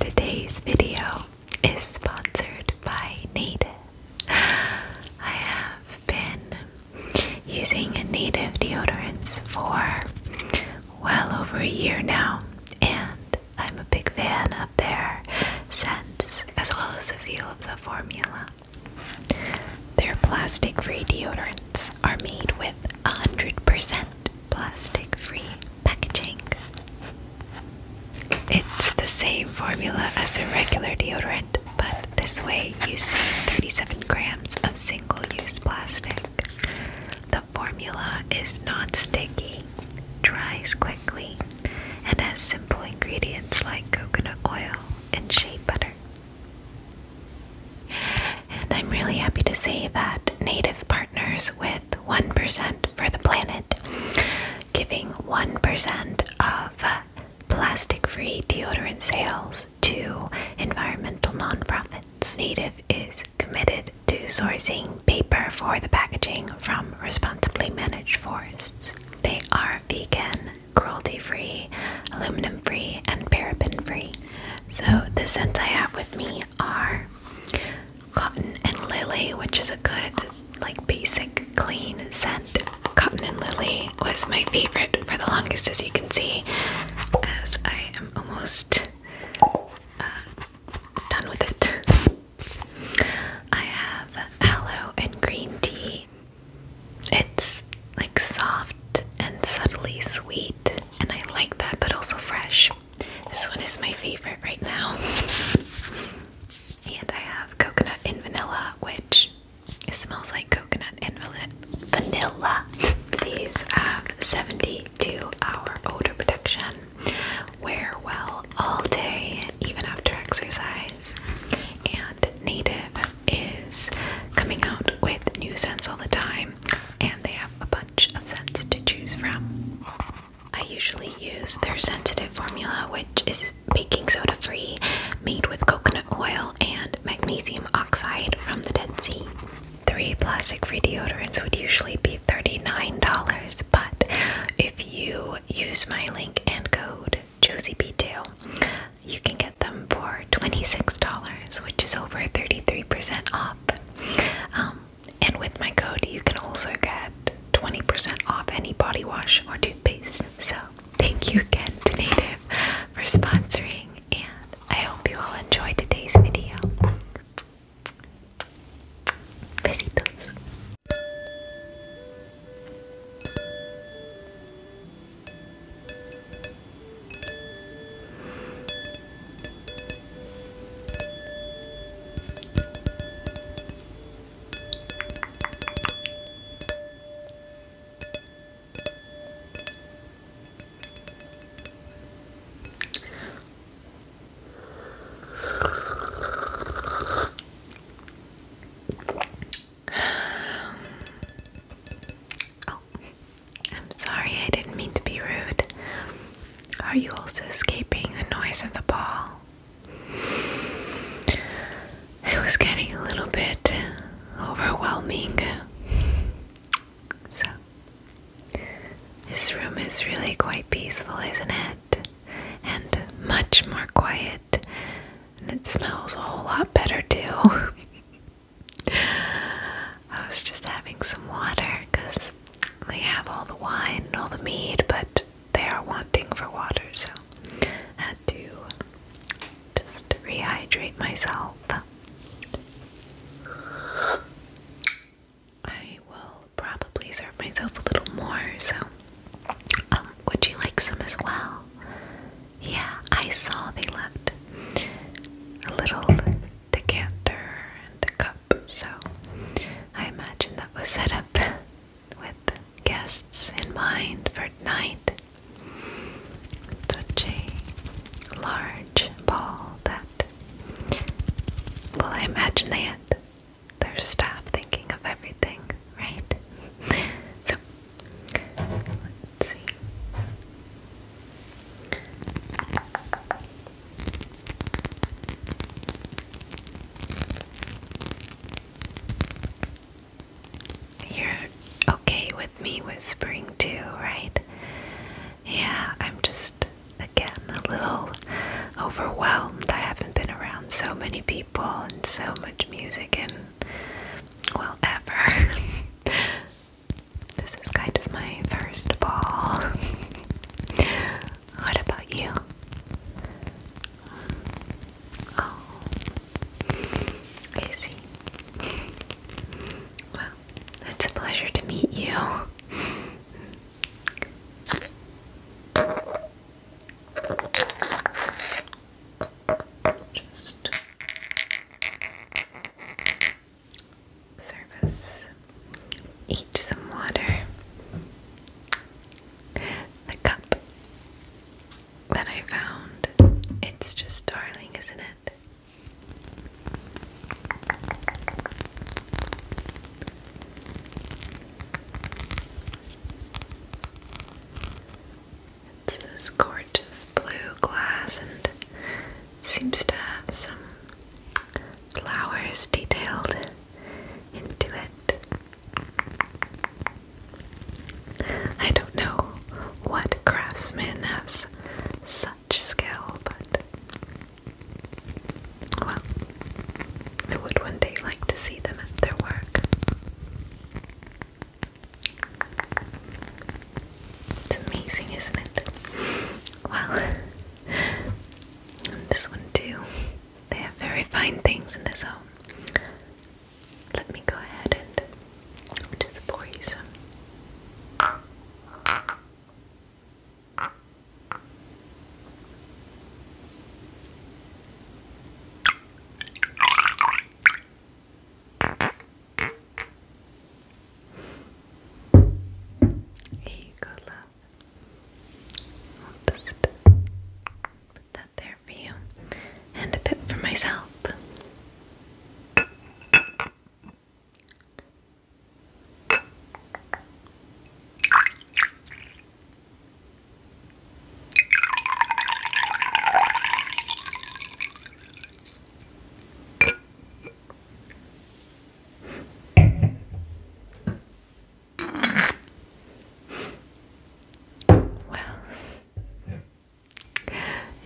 Today's video is sponsored by Native. I have been using Native deodorants for well over a year now, and I'm a big fan of their scents as well as the feel of the formula. Their plastic free deodorants are made with 100% plastic free packaging. It's the same formula as the regular deodorant, but this way you save 37 grams of single use plastic. The formula is not sticky, dries quickly, and has simple ingredients like coconut oil and shea butter. And I'm really happy to say that Native partners with 1% for the planet, giving 1% of uh, plastic free deodorant sales to environmental nonprofits. Native is committed to sourcing paper for the packaging from responsibly managed forests. They are vegan, cruelty free, aluminum free, and paraben free. So, the scent I have with me are Cotton and Lily, which is a good, like, basic clean scent. Cotton and Lily was my favorite for the longest, as you can see, as I am almost uh, done with it. I have aloe and green tea. It's like soft and subtly sweet, and I like that, but also fresh. This one is my favorite right now. and I have coconut and vanilla, which smells like coconut and vanilla. These have 72 hour odor protection. Wear well all day, even after exercise. And Native is coming out with new scents all the time, and they have a bunch of scents to choose from. I usually use their sensitive formula, which is baking soda free, made with coconut oil and magnesium oxide from the Dead Sea. Three plastic free deodorants would usually be $39, but if you use my link and code JosieB2, you can get them for $26, which is over 33% off. Um, and with my code, you can also get 20% off any body wash or toothpaste. So, thank you again to Native for sponsoring, and I hope you all enjoyed today's video. Besitos. Oh, I'm sorry, I didn't mean to be rude. Are you also escaping the noise of the ball? It was getting a little bit overwhelming. So, this room is really quite peaceful, isn't it? And much more quiet. And it smells a whole lot better, too. I was just having some water because they have all the wine and all the mead, but they are wanting for water, so I had to just rehydrate myself. I will probably serve myself a little more, so um, would you like some as well? Yeah, I saw they left a little decanter and a cup. So I imagine that was set up with guests in mind for tonight. Such a large ball that, well, I imagine they had their staff thinking of everything, right? So, let's see. You're okay with me whispering too, right? Yeah, I'm just, again, a little overwhelmed. I haven't been around so many people and so much music and, well, ever. this is kind of my first ball. what about you? Oh, I see. Well, it's a pleasure to meet you. Just service Eat some water. The cup that I found. It's just darling, isn't it? It's this gorgeous blue glass and seems to have some flowers detailed into it. I don't know what craftsman has such skill, but well, I would one day like to see them at their work. It's amazing, isn't it? Well, this one too. They have very fine things in this home. Let me go ahead and just pour you some. Here you go, love put that there for you, and a bit for myself. Well,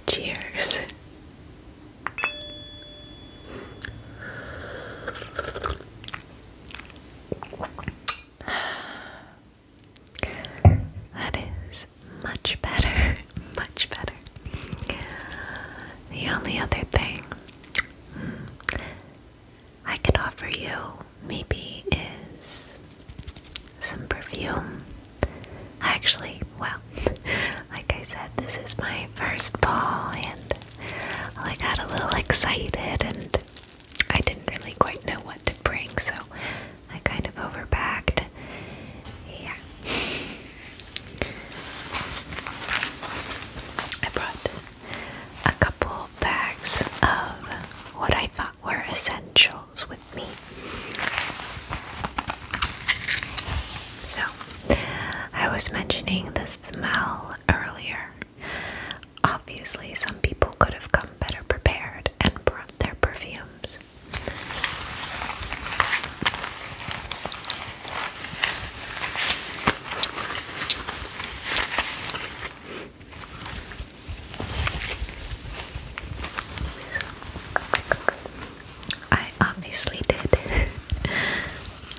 cheers. That is much better, much better. The only other thing hmm, I could offer you maybe is some perfume. Actually, well, like I said, this is my first ball, and I got a little excited, and I didn't really quite know what to bring, so I kind of overpacked. Yeah. I brought a couple bags of what I thought were essentials with me. So, I was mentioning the smell earlier. Obviously, some people could have come better prepared and brought their perfumes. I obviously did.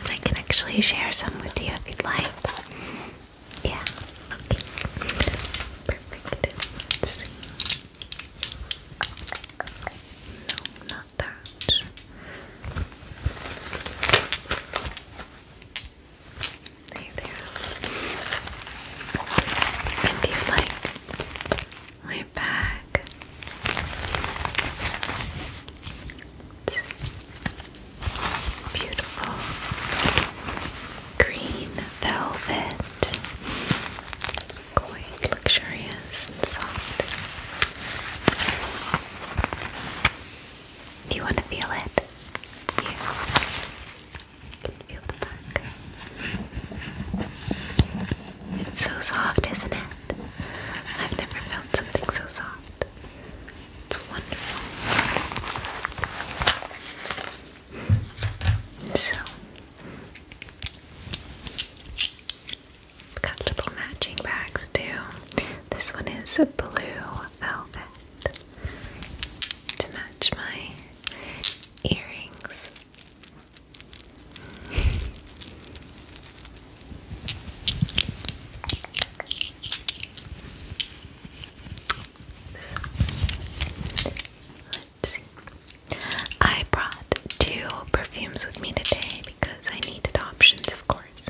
I can actually share some with you if you'd like. Yeah. Perfect. No, not that. There do you like my bag? beautiful green velvet. Quite luxurious and soft. Do you want to feel it? You can feel the bark. It's so soft, isn't it? I've never felt something so soft. It's wonderful. So, got little matching bags too. This one is blue velvet to match my earrings. let's see. I brought two perfumes with me today because I needed options, of course.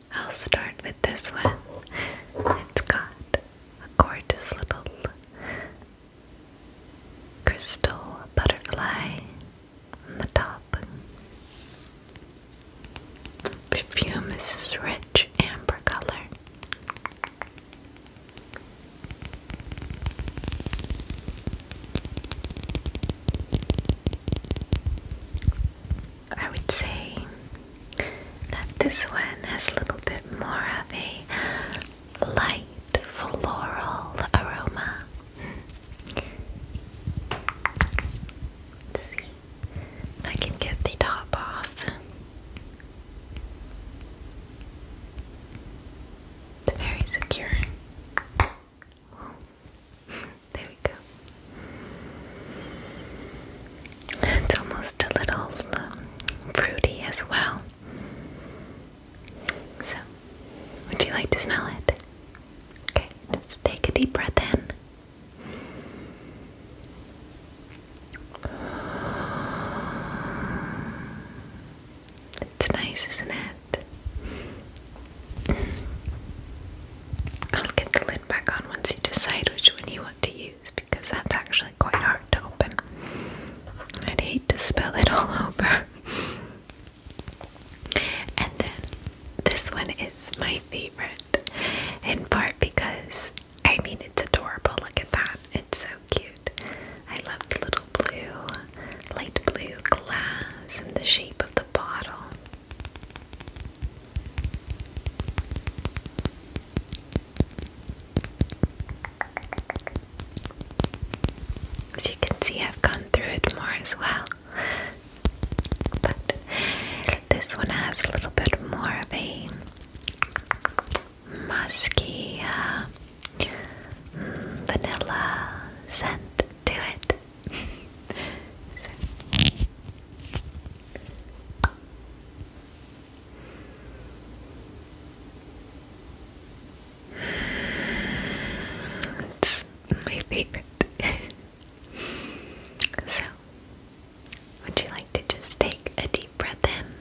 I'll start with this one. It's got a gorgeous little crystal butterfly on the top. Perfume is rich amber color. I would say that this one has a little bit more of a light floral aroma. see I can get the top off. It's very secure. there we go. It's almost a little um, fruity as well. So, would you like to smell it? Okay, just take a deep breath in. It's nice, isn't it? I'll get the lid back on once you decide which one you want to use because that's actually quite hard to open. I'd hate to spill it all over. and then this one is my favorite, in part because I mean it's adorable. Look at that, it's so cute. I love the little blue, light blue glass and the shape of the bottle. As you can see, I've gone through it more as well. But this one has a little bit more of a musky uh, mm, vanilla scent to it. It's my favorite. so, would you like to just take a deep breath in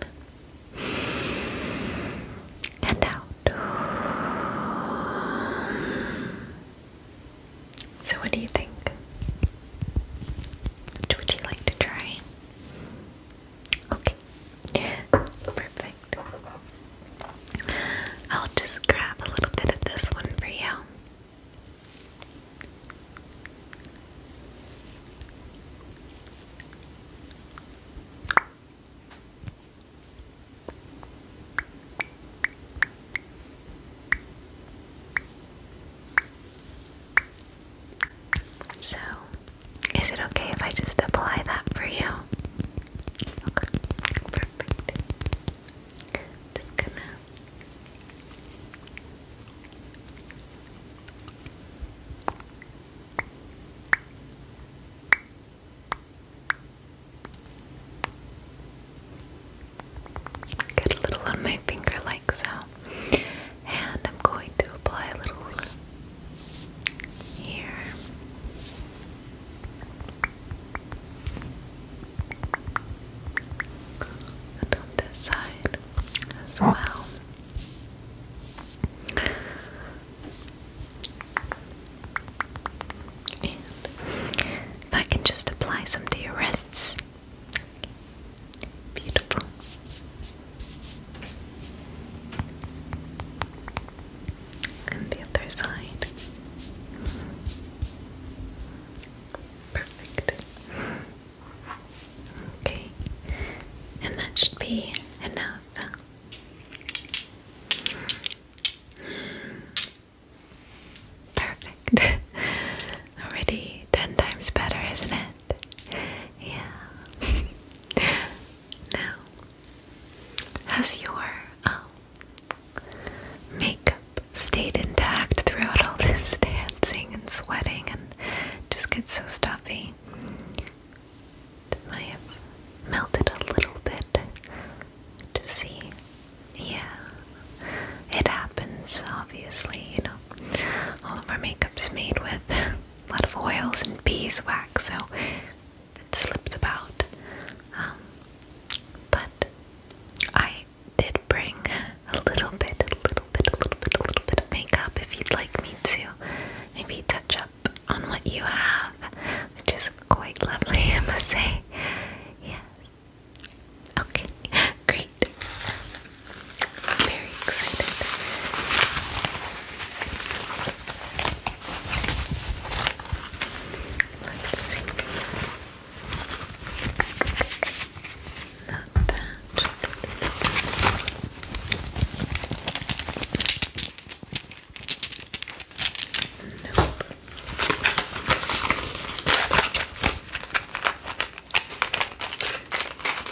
and out? So, what do you think? Which would you like to try? Okay. Perfect. I'll just grab a little bit of this one for you. So, is it okay if I just apply that for you? Just gonna. Get a little on my finger like so and I'm going to apply a little here. And on this side as well. And if I can just apply some to your wrists, Beautiful. And the other side. Perfect. Okay. And that should be enough. Perfect. Already ten times better, isn't it? Yeah. now, has your um, makeup stayed intact throughout all this dancing and sweating and just gets so stuffy? It melted a little bit to see. Yeah, it happens, obviously, you know, all of our makeup's made with a lot of oils and beeswax, so it slips about. Um, but I did bring a little bit, a little bit, a little bit, a little bit of makeup if you'd like me to maybe touch up on what you have, which is quite lovely, I must say. Yes. Okay, great. I'm very excited. Let's see. Not that. Nope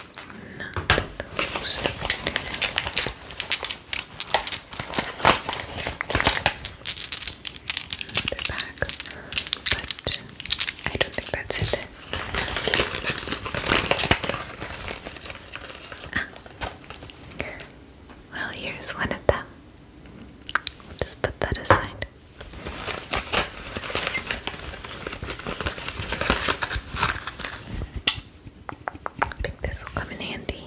not the most but I don't think that's it. Well, here's one of them. just put that aside. I think this will come in handy.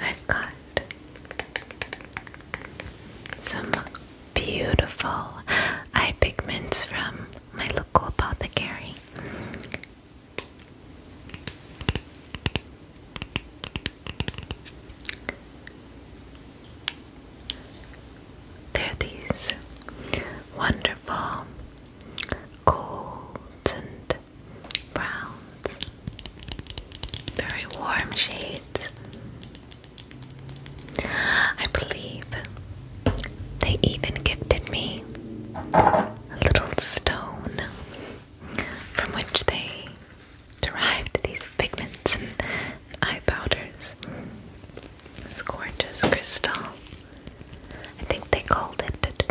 I've got some beautiful eye pigments from my local apothecary. They're these wonderful golds and browns, very warm shades. I believe they even gifted me a little stone from which they derived these pigments and eye powders. This gorgeous crystal. I think they called it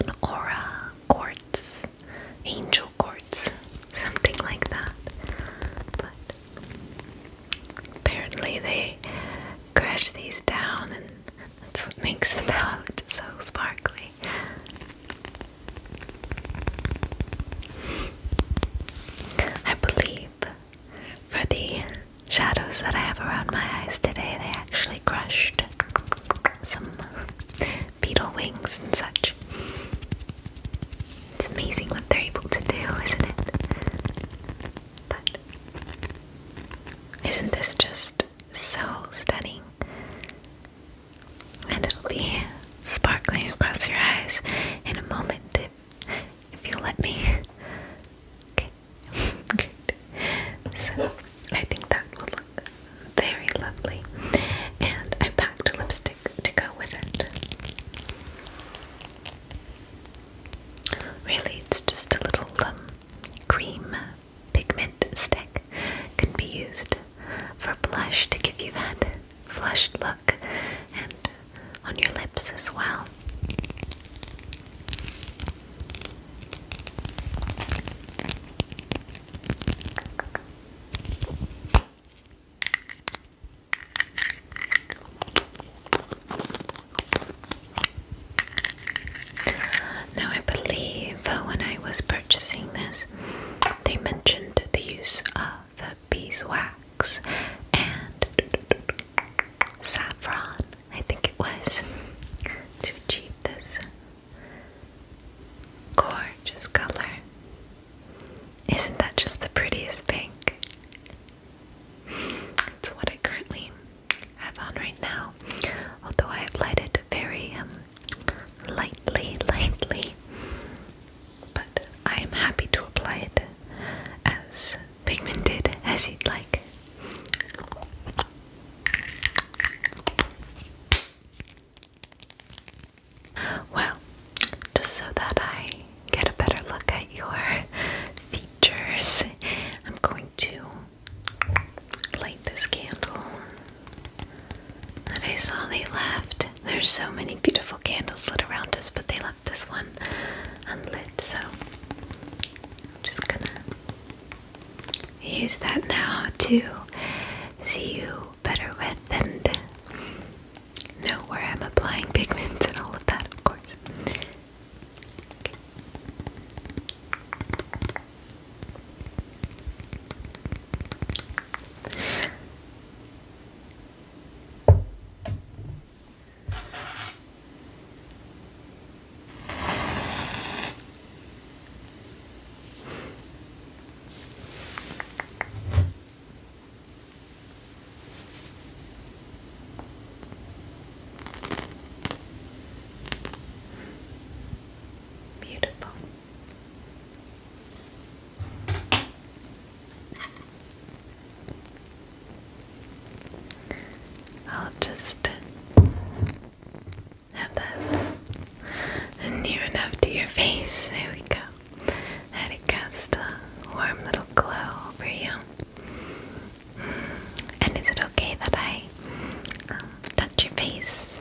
an aura quartz, angel quartz, something like that. Apparently, they crash these down, and that's what makes the palette so sparkly. I believe for the shadows that I have around my eyes today, they actually crushed some beetle wings and such. It's amazing what they're able to do, isn't it? But isn't this just so stunning? And it'll be sparkling across your eyes in a moment if you let me. Okay, good. So I think that will look very lovely. And I packed lipstick to go with it. Really, it's just a little um, cream pigment stick. Can be used for blush to give you that flushed look and on your lips as well. Now, I believe when I was purchasing this, they mentioned the use of beeswax and saffron, I think it was, to achieve this gorgeous color. Isn't that just the prettiest pink? It's what I currently have on right now, although I applied it very um, lightly, lightly. But I am happy to apply it as pigmented as you'd like. Well, just so that I get a better look at your features, I'm going to light this candle that I saw they left. There's so many beautiful candles lit around us, but they left this one unlit, so I'm just gonna use that now to see you better with and know where I'm applying pigments and all of that, of course. Beautiful. I'll just have that near enough to your face. There we go. And it cast a warm little glow over you. Mm. And is it okay that I um, touch your face?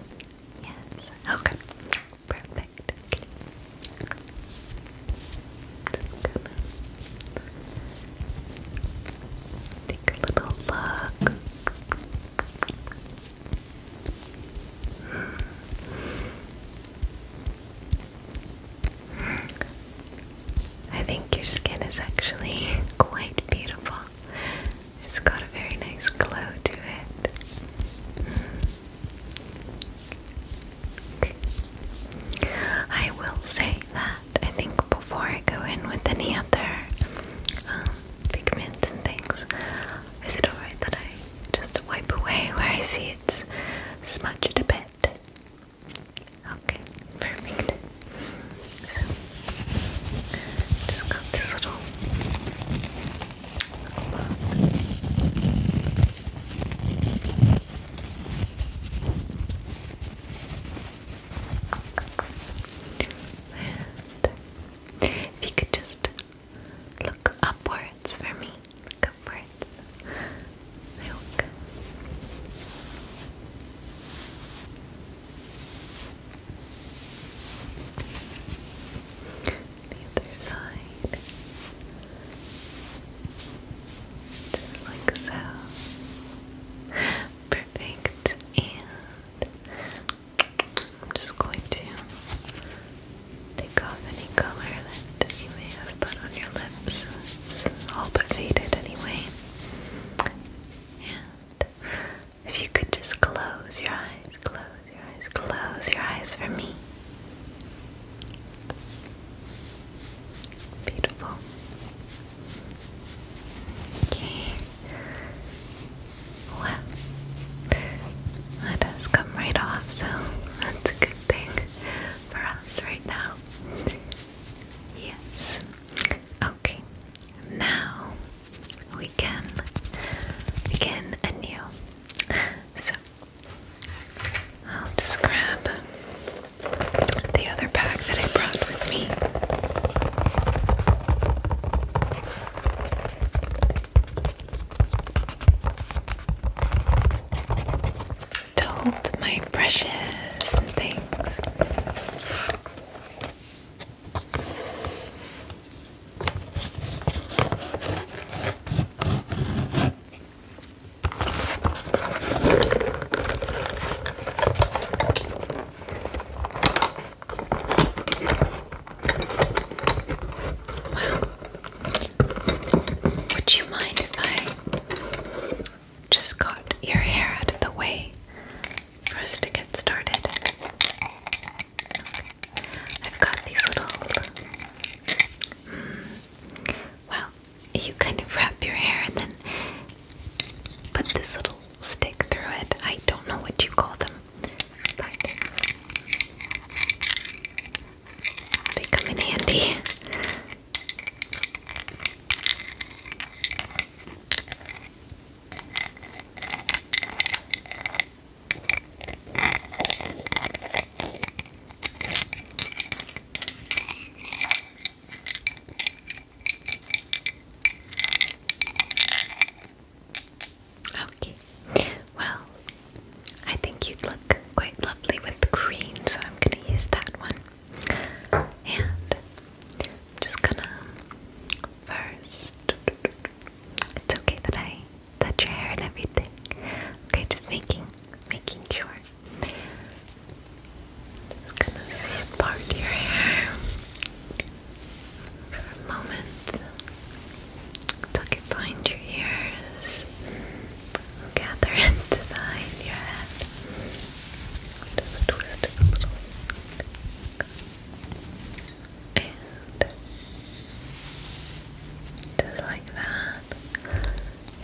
Yes. Okay. Perfect. take a little look. Mm. I think your skin is actually quite beautiful. It's got a very nice glow to it. I will say that I think before I go in with any other um, pigments and things, is it alright that I just wipe away where I see it's smudged a bit? Okay, perfect. So, just got this little if you could just look upwards for me, look upwards. The other side, just like so. Perfect, and I'm just going to take off any color that you may have put on your lips. It's all but faded anyway. And if you could just close your eyes, close your eyes, close your eyes for me. Beautiful. Okay. Well, that has come right off, so that's a good thing for us right now. Yes. Okay. Now we can begin anew. So I'll just grab the other pack that I brought with me to hold my brushes and things. Well, would you mind if I just got your hair out of the way for us to get started. I've got these little. Hmm, well, you kind of wrap your hair and then put this little stick through it. I don't know what you call them, but they come in handy. Okay, well, I think you'd look quite lovely with the green, so I'm going to use that one. And I'm just gonna first. It's okay that I touch your hair and everything. Okay, just making making sure. Just gonna part your hair for a moment. Tuck it behind your ears gather it behind your head. Just twist it a little. And just like that.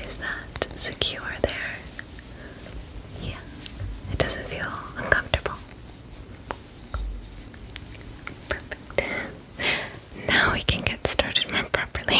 Is that secure there? Yeah. It doesn't feel uncomfortable. Perfect. Now we can get started more properly.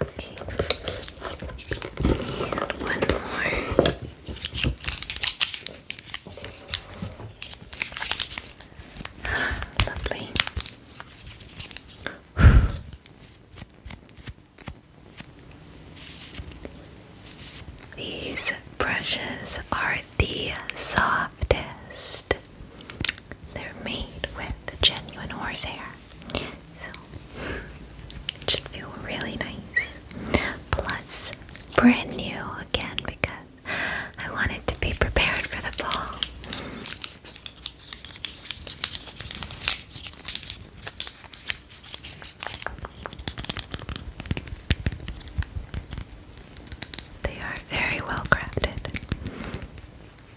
Okay. one more. Lovely. These brushes are the softest. They're made with genuine horse hair it should feel really nice. Plus, brand new again because I wanted to be prepared for the fall. They are very well crafted. So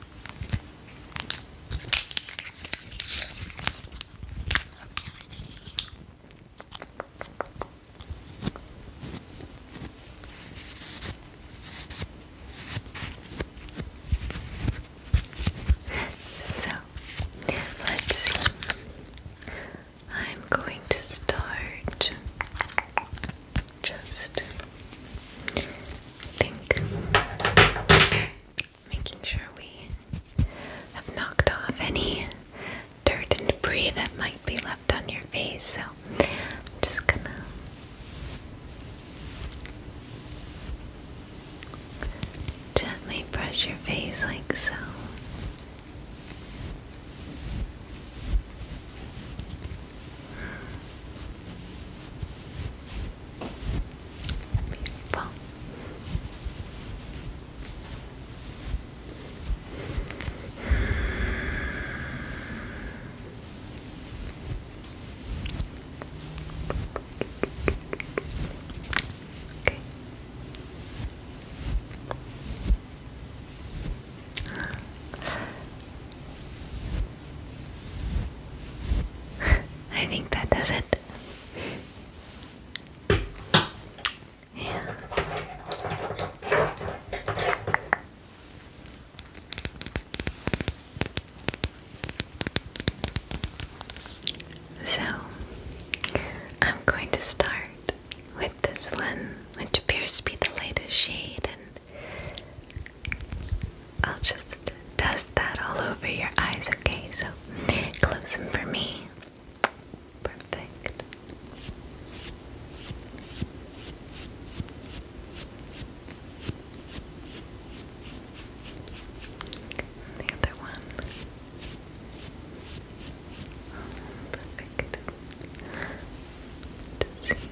let's see. I'm going to start just think making sure we have knocked off any dirt and debris that might be left on your face. So I'm just gonna gently brush your face like so. I think that does it. So, I'm going to start with this one, which appears to be the lightest shade, I'll just dust that all over your eyes, okay? So close them for me. Perfect. the other one. perfect. let see.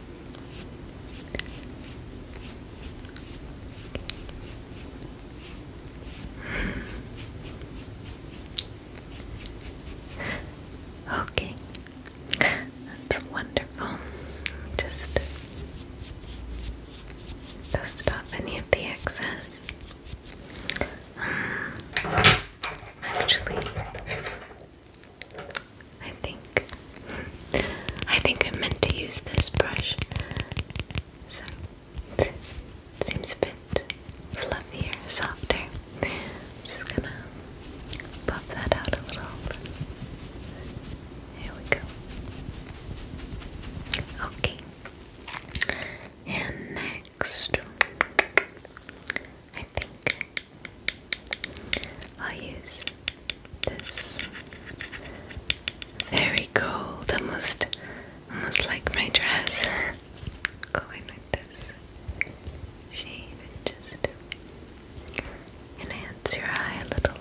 Okay, that's wonderful. Just dust off any of the excess. Um, actually, I think I think I meant to use this brush. So it seems a bit fluffier, softer. just gonna pop that out a little. There we go. Okay. And next, I think I'll use this very really cold, almost, almost like my dress. Go in with this shade and just enhance your eye a little.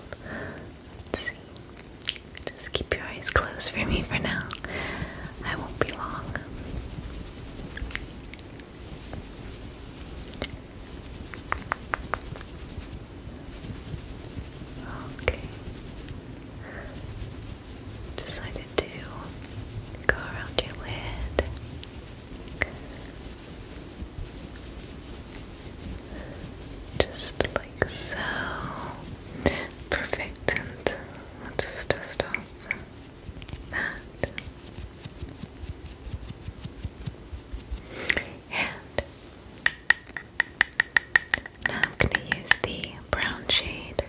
Just keep your eyes closed for me for now. I won't be long. Okay. Decided to go around your lid. Just like so. Perfect. And let's dust off that. And now I'm going to use the brown shade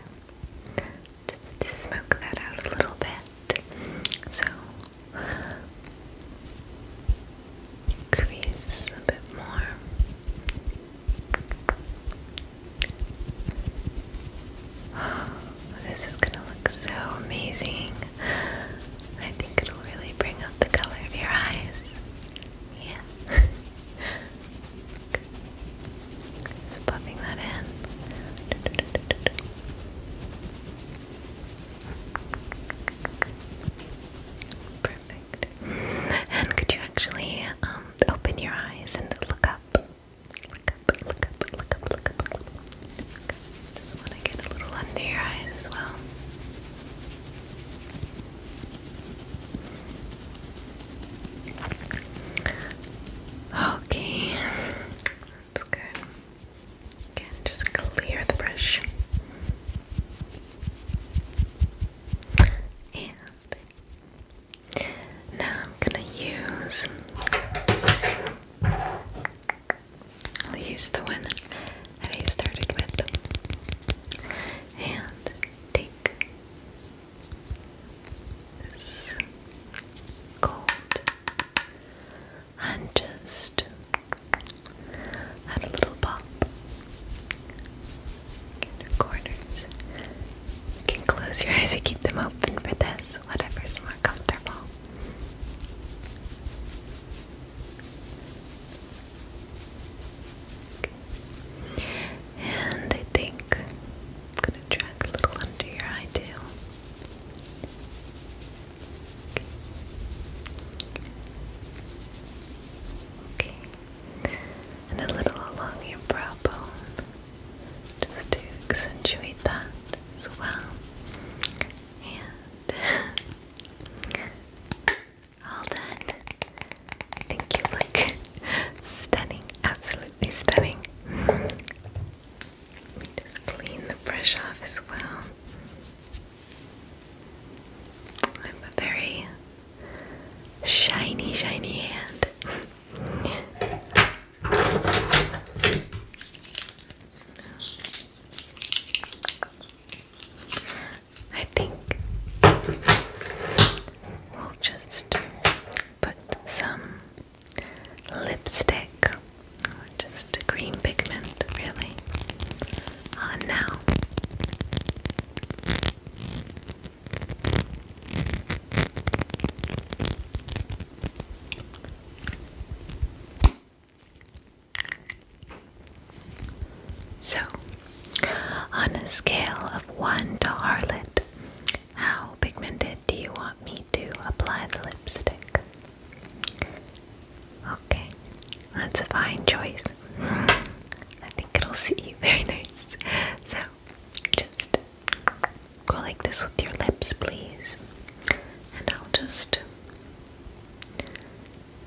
just to smoke that out a little bit. So, crease a bit more. this is gonna look so amazing. I think it'll really bring up the color of your eyes. Yeah. Just popping that in. Perfect. And could you actually um, open your eyes and look up? Look up, look up, look up, look up. Look up. Just want to get a little under your eyes as well. Okay, that's good. just clear the brush. And now I'm gonna use I'll use the one that I started with. And take cold and just add a little pop in the corners. You can close your eyes or keep them open for this, whatever's more comfortable. And I think I'm gonna drag a little under your eye too. Okay. And a little along your brow bone. Just to accentuate that as well. And All done. I think you look stunning, absolutely stunning. Let me clean the brush off as well. I have a very shiny, shiny hand. I think we'll just put some lipstick just a green pigment really on now. So, on a scale of 1 to Harlot, how pigmented do you want me to apply the lipstick? Okay, that's a fine choice. I think it'll suit you very nice. So, just go like this with your lips, please. And I'll just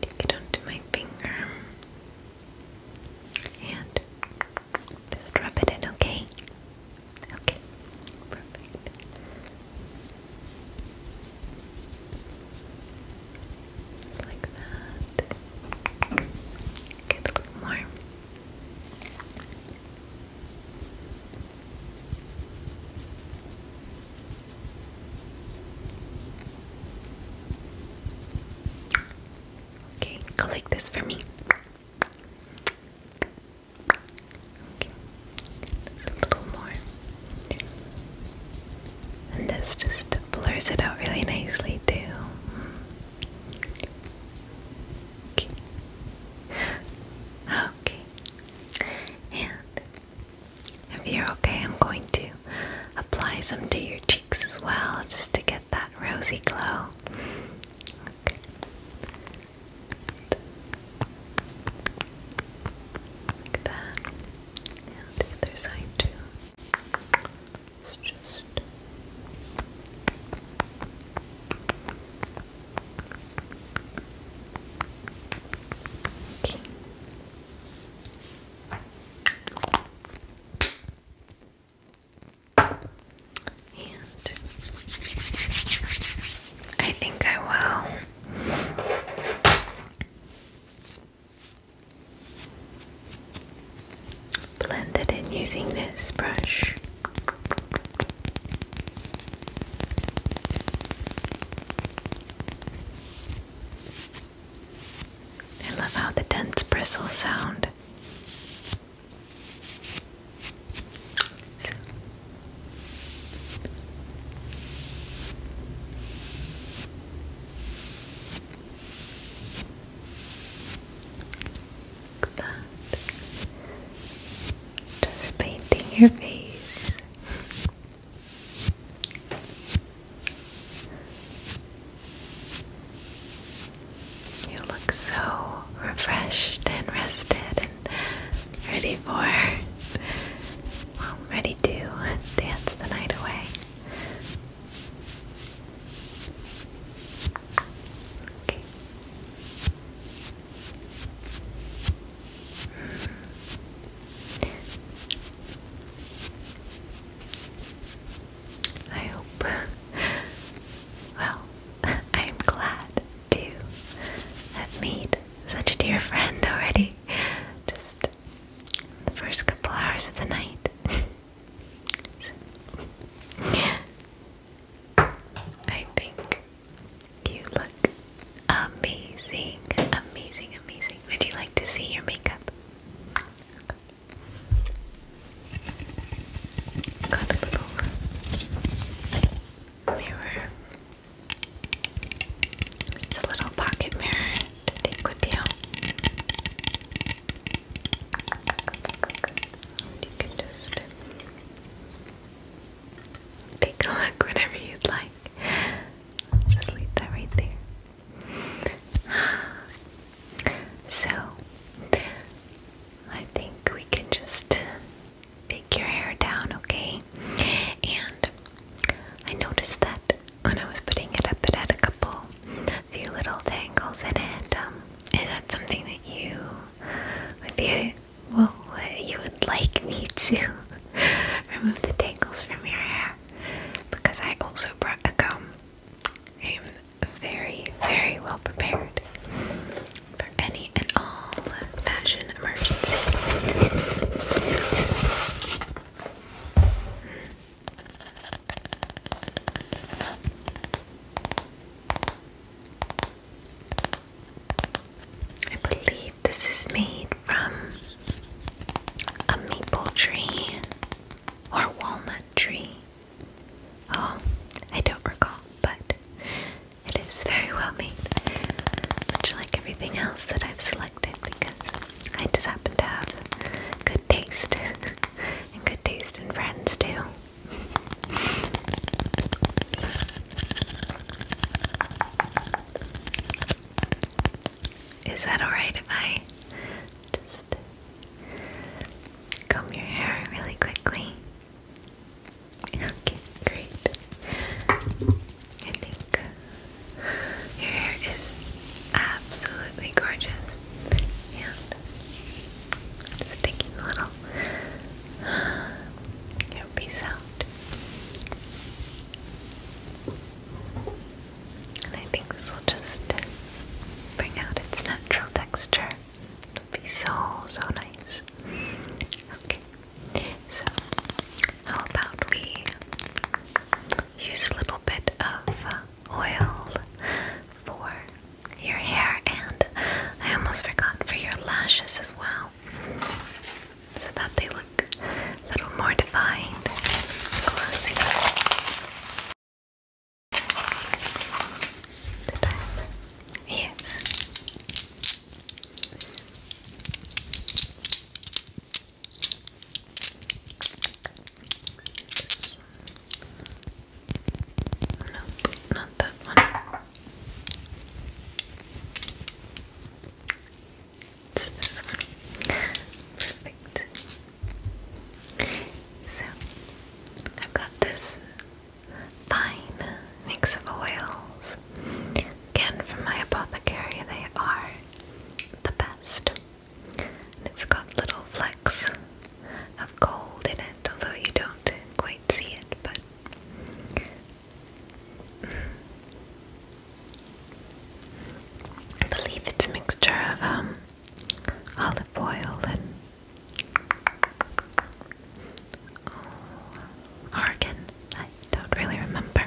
take it onto my finger and just drop it in, okay? Okay, perfect. like that. Okay, a little more. Okay, go like this for me. Okay, a little more. And this just blurs it out really nicely, too. Okay. Okay. And if you're okay, I'm going to apply some to your cheeks as well, just to get that rosy glow. that. the other side too. Let's just Okay. I think I will. Blend it in using this brush. I love how the dense bristles sound. So. Like Just painting your face. You look so refreshed and rested and ready for, well, ready to dance the night away. Hmm. I hope. Well, I am glad to have made such a dear friend already. Just the first couple hours of the night. so, I think you look amazing, amazing, amazing. Would you like to see your makeup? Got mirror. It's a little pocket mirror to take with you. you can just take a look whenever you'd like. just leave that right there. So, I think we can just take your hair down, okay? And I noticed that when I was putting it up, it had a couple, a few little tangles in it. Um, is that something that you would be, well, you would like me to remove the tangles from your hair? Because I also brought um, a comb very, very well prepared for any and all fashion emergency. I believe this is made from a maple tree or walnut tree. Oh, I don't recall, but it is very well made, much like everything else that I've selected because I just happen to have good taste, and good taste in friends too. Is that alright if I just Comb your hair really quickly. Okay, great. I think your hair is absolutely gorgeous. And just taking a little your piece out. And I think this will just bring out its natural texture it be so, so nice. Okay, so how about we use a little bit of uh, oil for your hair, and I almost forgot for your lashes as well, so that they look a little more defined glossy. The time? Yes. Nope, not that one. It's this one. Perfect. So, I've got this fine mix of oils. Again, from my apothecary, they are the best. And it's got little flecks of gold in it, although you don't quite see it, but. I believe it's a mixture of um, olive oil and Oregon. I don't really remember.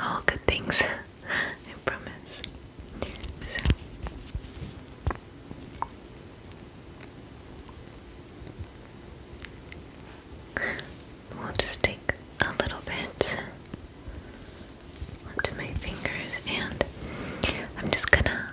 All good things, I promise. So. We'll just take a little bit onto my fingers, and I'm just gonna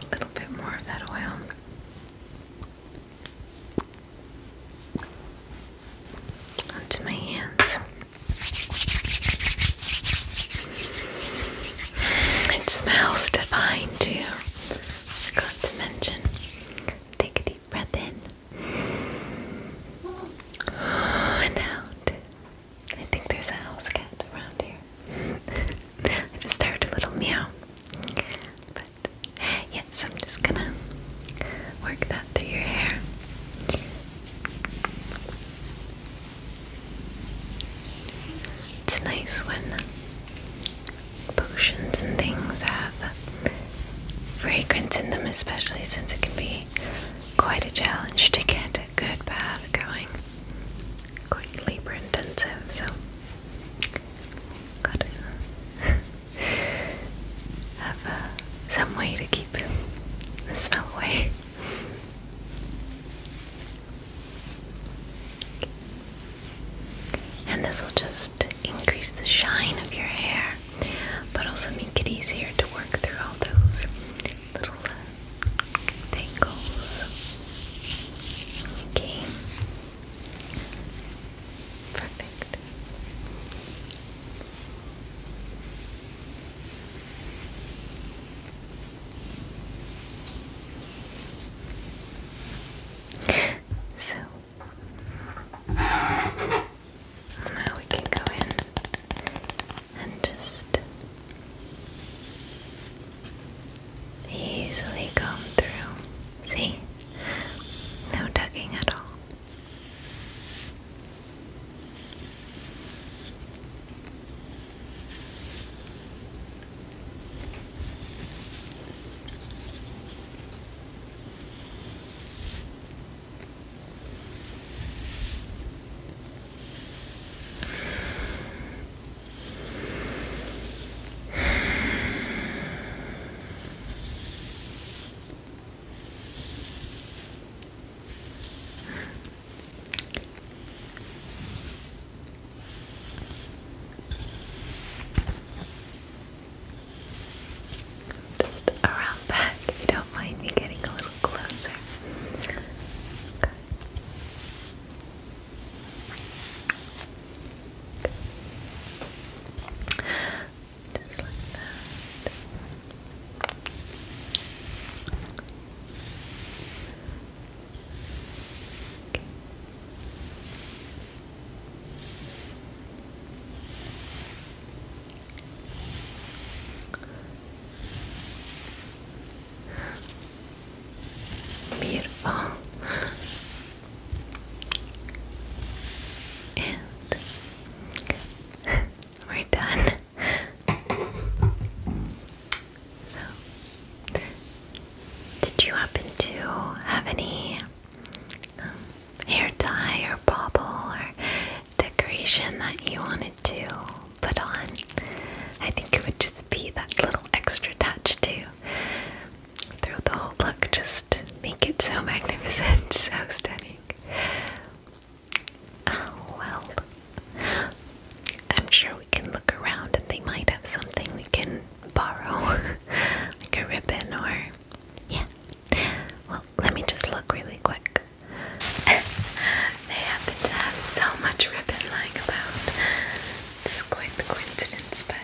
a little bit more of that oil. Onto my hands. It smells divine too. Forgot to mention. Take a deep breath in and out. I think there's a house cat around here. I just heard a little meow. But yes, I'm just gonna work that through your hair. It's nice when potions and things have fragrance in them, especially since it can be quite a challenge to get a good bath going. Quite labor intensive, so Gotta have uh, some way to keep the smell away. And this will just increase the shine of your hair, but also make it easier to work through all those little uh, tangles. Okay. Perfect. So now we can go in and just easily come through. See? No tugging at all. Just around back, if you don't mind me getting a little closer. Okay. Just like that. Okay. Beautiful. Ah. And we're done. So, did you happen to have any um, hair tie or bobble or decoration that you wanted to put on? I think it would just be that little extra touch, too through the whole look, just make it so magnificent, so stunning. Oh, well. I'm sure we can look around and they might have something we can borrow, like a ribbon or. Yeah. Well, let me just look really quick. they happen to have so much ribbon lying about. It's quite the coincidence, but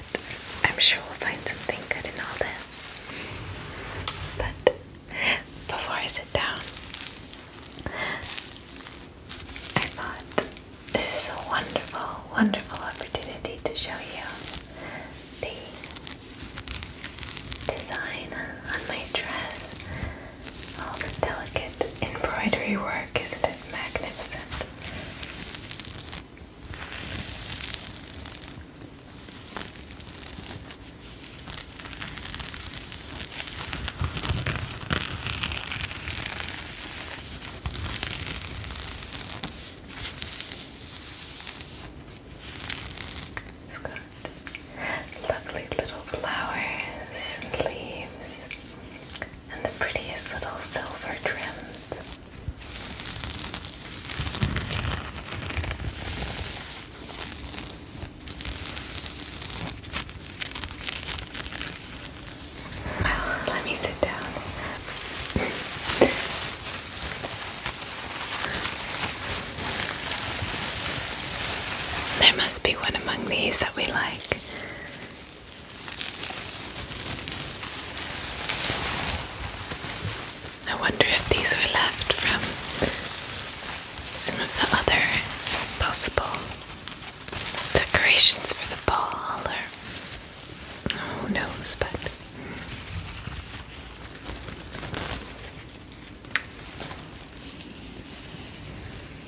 I'm sure we'll find something good in all this. But before I sit down, I thought this is a wonderful, wonderful opportunity to show you the design on my dress. All the delicate embroidery work, isn't it magnificent? this. It's got lovely little flowers and leaves and the prettiest little silver trims. Well, let me sit down. there must be one among these that we like. I wonder if these were left from some of the other possible decorations for the ball, or who knows, but.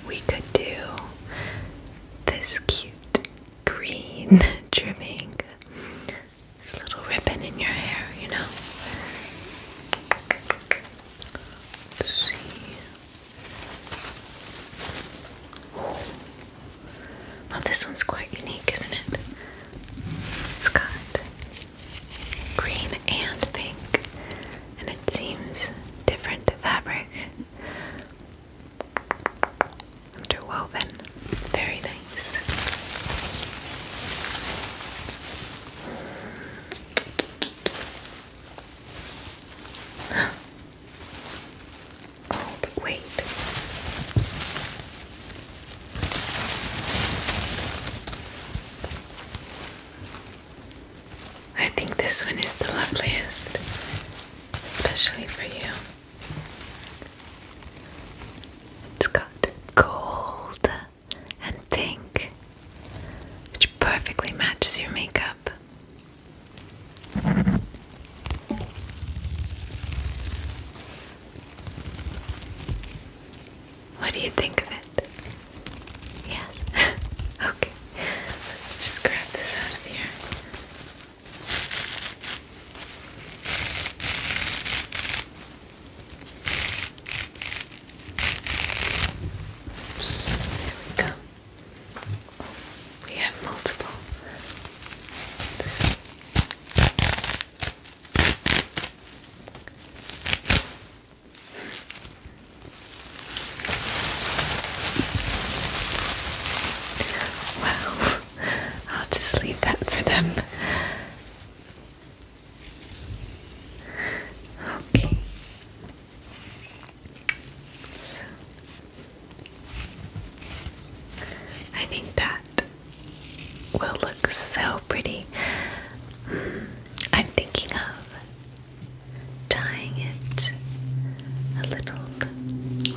We could do this cute green trimming. This little ribbon in your hair, you know. see. Oh. Well, this one's quite unique, isn't it? It's got green and pink, and it seems different fabric Interwoven. Very nice. Oh, but wait. I think this one is the loveliest, especially for you. It's got gold and pink, which perfectly matches your makeup. What do you think of it? Yes? okay, let's just grab this out of here. Oops, there we go. Oh, we have multiple. Wow, I'll just leave that for them. Okay. So I think that will look so pretty. I'm thinking of tying it a little,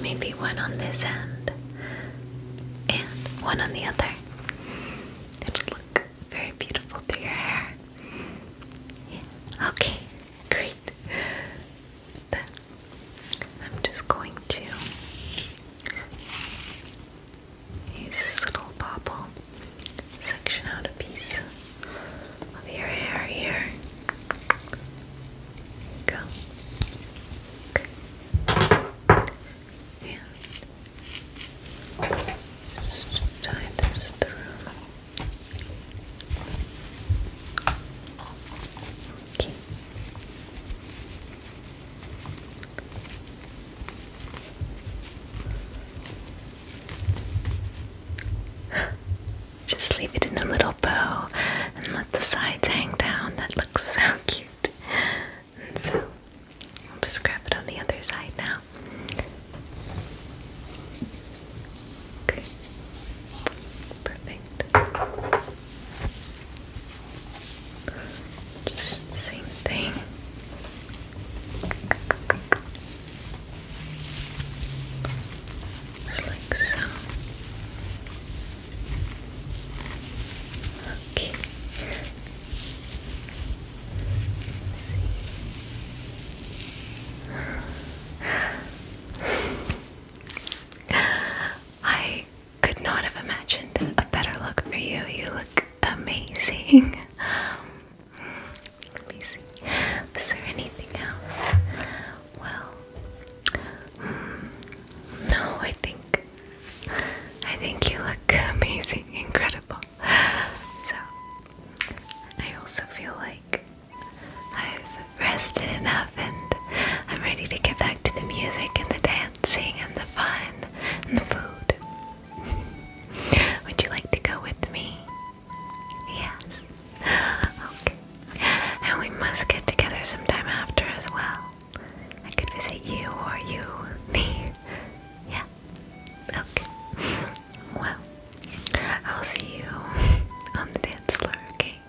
maybe one on this end and one on the other. It'll look very beautiful through your hair. Okay, great. I'm just going to use this little bobble, section out a piece of your hair here go. Okay. And just tie this through. Okay. Just leave it in a little bow and let the sides hang down. That looks so cute. And so I'll just grab it on the other side now. Okay. Perfect. Just same thing. Just like so. I could not have imagined a better look for you. You look amazing. Um, let me see. Is there anything else well, hmm, no, I think I think you look amazing, incredible. So I also feel like I've rested enough and I'm ready to get back to the music and the dancing and the fun and the food. Would you like to go with me? Yes. Okay. And we must get together sometime after as well. I could visit you or you, me. yeah. Okay. Well, I'll see you on the dance floor, okay?